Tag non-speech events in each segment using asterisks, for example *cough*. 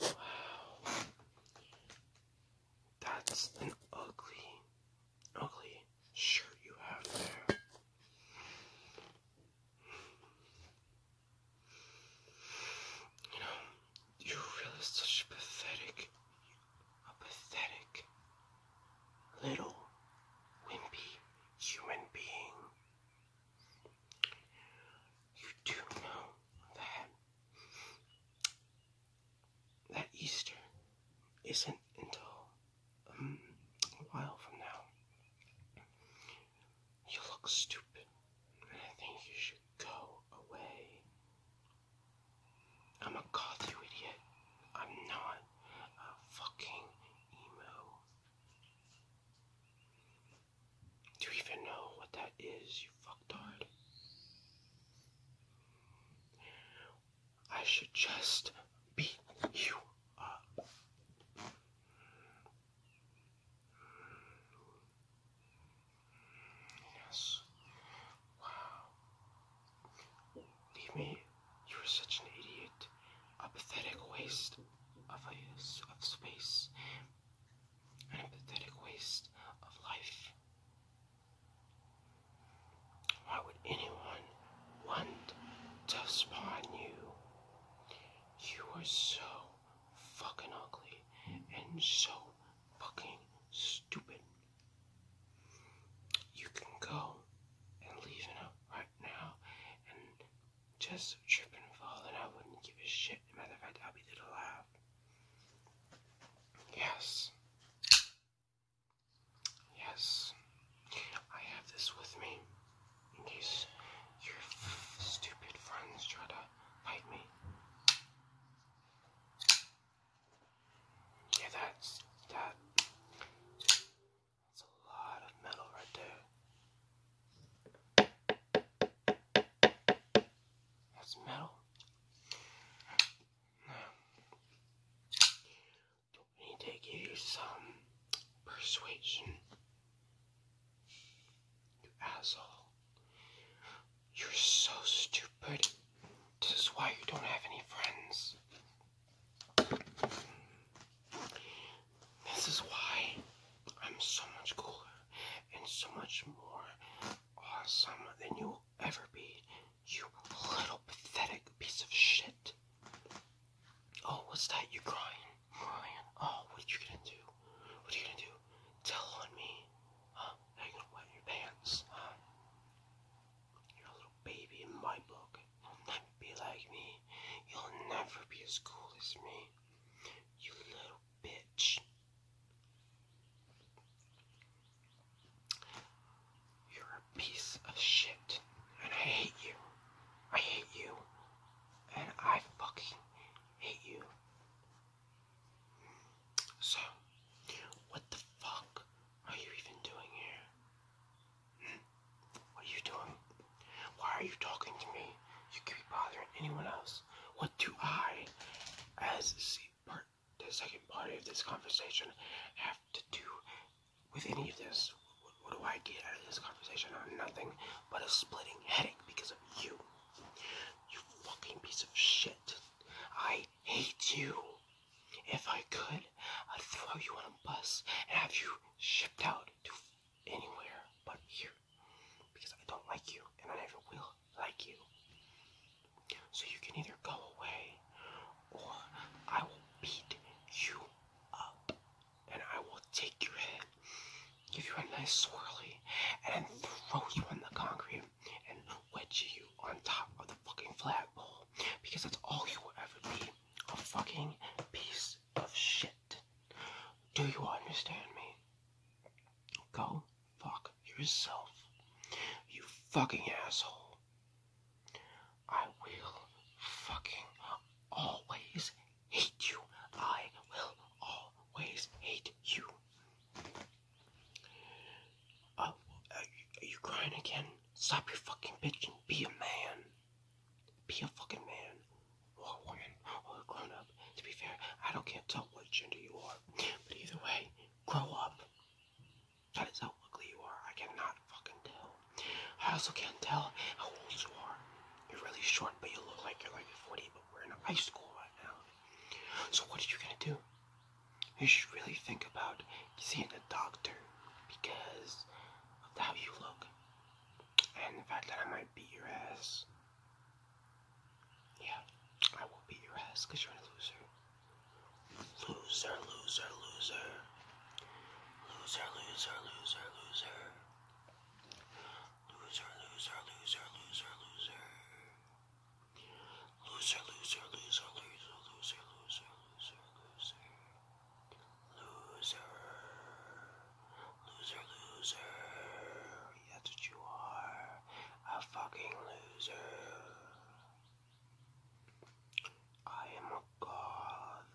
Wow. That's an ugly, ugly shirt you have there. You know, you're really such a pathetic, a pathetic, little, wimpy human being. You do know that that Easter isn't until um, a while from now. You look stupid. I think you should go away. I'm a god, you idiot. I'm not a fucking emo. Do you even know what that is, you fucktard? I should just beat you up. Yes. Wow. Mimi, you are such an idiot. A pathetic waste of, space. And pathetic waste of life. Why would anyone want to spawn you? You are so fucking ugly and so fucking stupid. You can go and leave it right now and just trip and fall, I wouldn't give a shit. matter of fact, I'll be there to laugh. Yes. Yes. I have this with me in case your stupid friends try to fight me. Yeah, that's that. That's a lot of metal right there. That's metal. we need to give some persuasion. You asshole. You're so stupid. This is why you don't have any friends. This is why I'm so much cooler and so much more awesome than you'll ever be, you little pathetic piece of shit. Oh, what's that? You crying? oh, what you gonna do? What you gonna do? Tell on me? Huh? Now you gonna wet your pants, huh? You're a little baby in my book. You'll never be like me. You'll never be as cool as me. You little bitch. You're a piece of shit. And I hate you. I hate you. And I fucking hate you. So, what the fuck are you even doing here? What are you doing? Why are you talking to me? You could be bothering anyone else. What do I, as the second party of this conversation, have to do with any of this? what, do I get out of this conversation? Nothing but a splitting headache because of you. You fucking piece of shit. I hate you. If I could, I'd throw you on a bus and have you shipped out to anywhere but here. Because I don't like you and I never will like you. So you can either go away or I will beat you up and I will take your head, give you a nice swirly, and then throw you on the concrete and wedge you on top of the fucking flagpole because that's all you will ever be a fucking piece of shit. Do you understand me? Go fuck yourself, you fucking asshole. I will fucking always hate you. I will always hate oh, you. are you, crying again? Stop your fucking bitch be a man. Be a fucking man. Or a woman. Or a grown up. To be fair, I don't can't tell what gender you are. But either way, grow up. That is how ugly you are. I cannot fucking tell. I also can't tell how old you are. You're really short, but you look like you're like 40, but we're in high school right now. So what are you gonna do? You should really think about seeing a doctor because of how you look and the fact that I might beat your ass. Yeah, I will beat your ass because you're a loser. Loser, loser, loser. Loser, loser, loser, loser. Loser, loser, loser, loser, loser. Loser, loser, loser, loser, loser, loser, loser, loser. Loser. Loser, loser. That's what you are. A fucking loser. I am a goth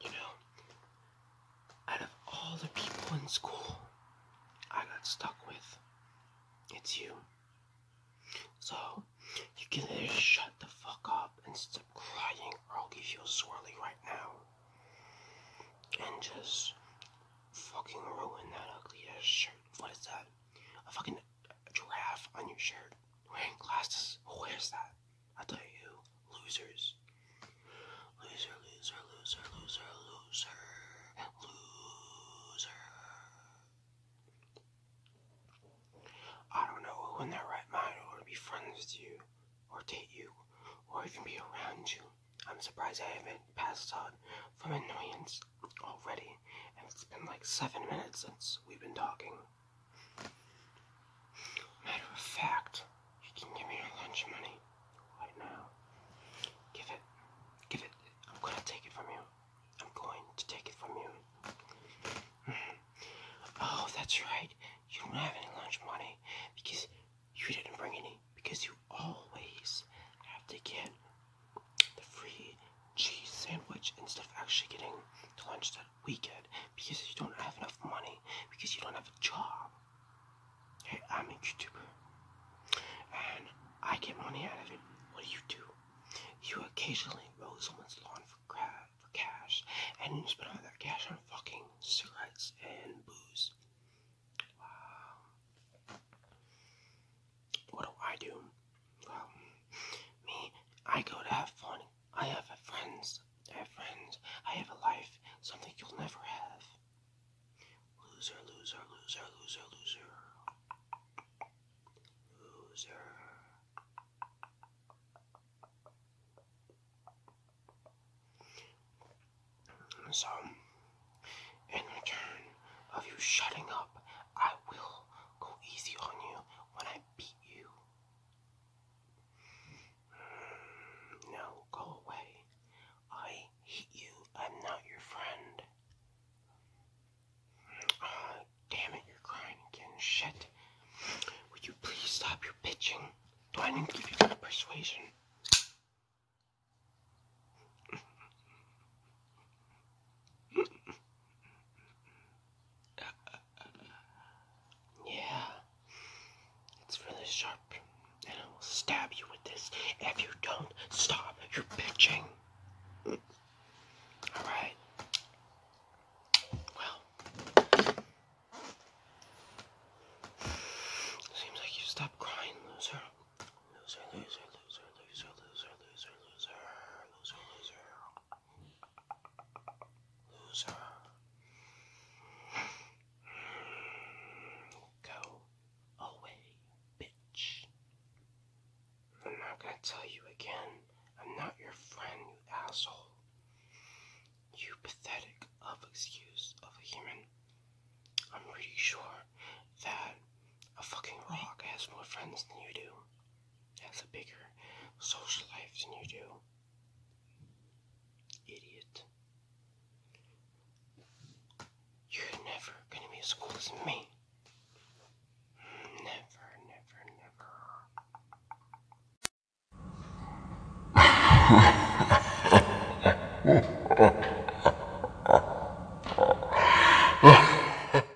You know, out of all the people in school I got stuck with, it's you. So, you either shut the fuck up and stop crying, or I'll give you a swirly right now. And just fucking ruin that ugly ass shirt. What is that? A fucking a giraffe on your shirt wearing glasses. Who wears that? I tell you, losers. Loser, loser, loser, loser, loser, loser. I don't know who in their right mind would be friends with you, or date you, or even be around you. I'm surprised I haven't passed out from annoyance already, and it's been like seven minutes since we've been talking. Matter of fact, you can give me your lunch money right now. Give it. Give it. I'm gonna take it from you. I'm going to take it from you. *laughs* Oh, that's right. You don't have any lunch money because you didn't bring any. Because you always have to get the free cheese sandwich instead of actually getting lunch that we get because you don't have enough money because you don't have a job. Hey, I'm a YouTuber and I get money out of it. What do you do? You occasionally mow someone's lawn for, for cash and you spend all that cash on fucking cigarettes and booze. Wow. What do I do? Well, me, I go to have fun. I have friends. I have friends. I have a life, something you'll never have. Loser, loser, loser, loser, loser. Loser. So, in return of you shutting up, I will go easy on you when I beat you. No, go away. I hate you. I'm not your friend. Ah, damn it, you're crying again. Shit. Would you please stop your bitching? I need to give you my persuasion? Yeah. It's really sharp. And I will stab you with this if you don't stop your bitching. Alright. Well. Seems like you stopped crying, loser. Loser, loser, loser, loser, loser, loser, loser, loser, loser, Loser. Go away, bitch. I'm not gonna tell you again. I'm not your friend, you asshole. You pathetic of excuse of a human. I'm pretty sure that a fucking rock has more friends than you do has a bigger social life than you do. Idiot. You're never gonna be as cool as me. Never, never, never. *laughs*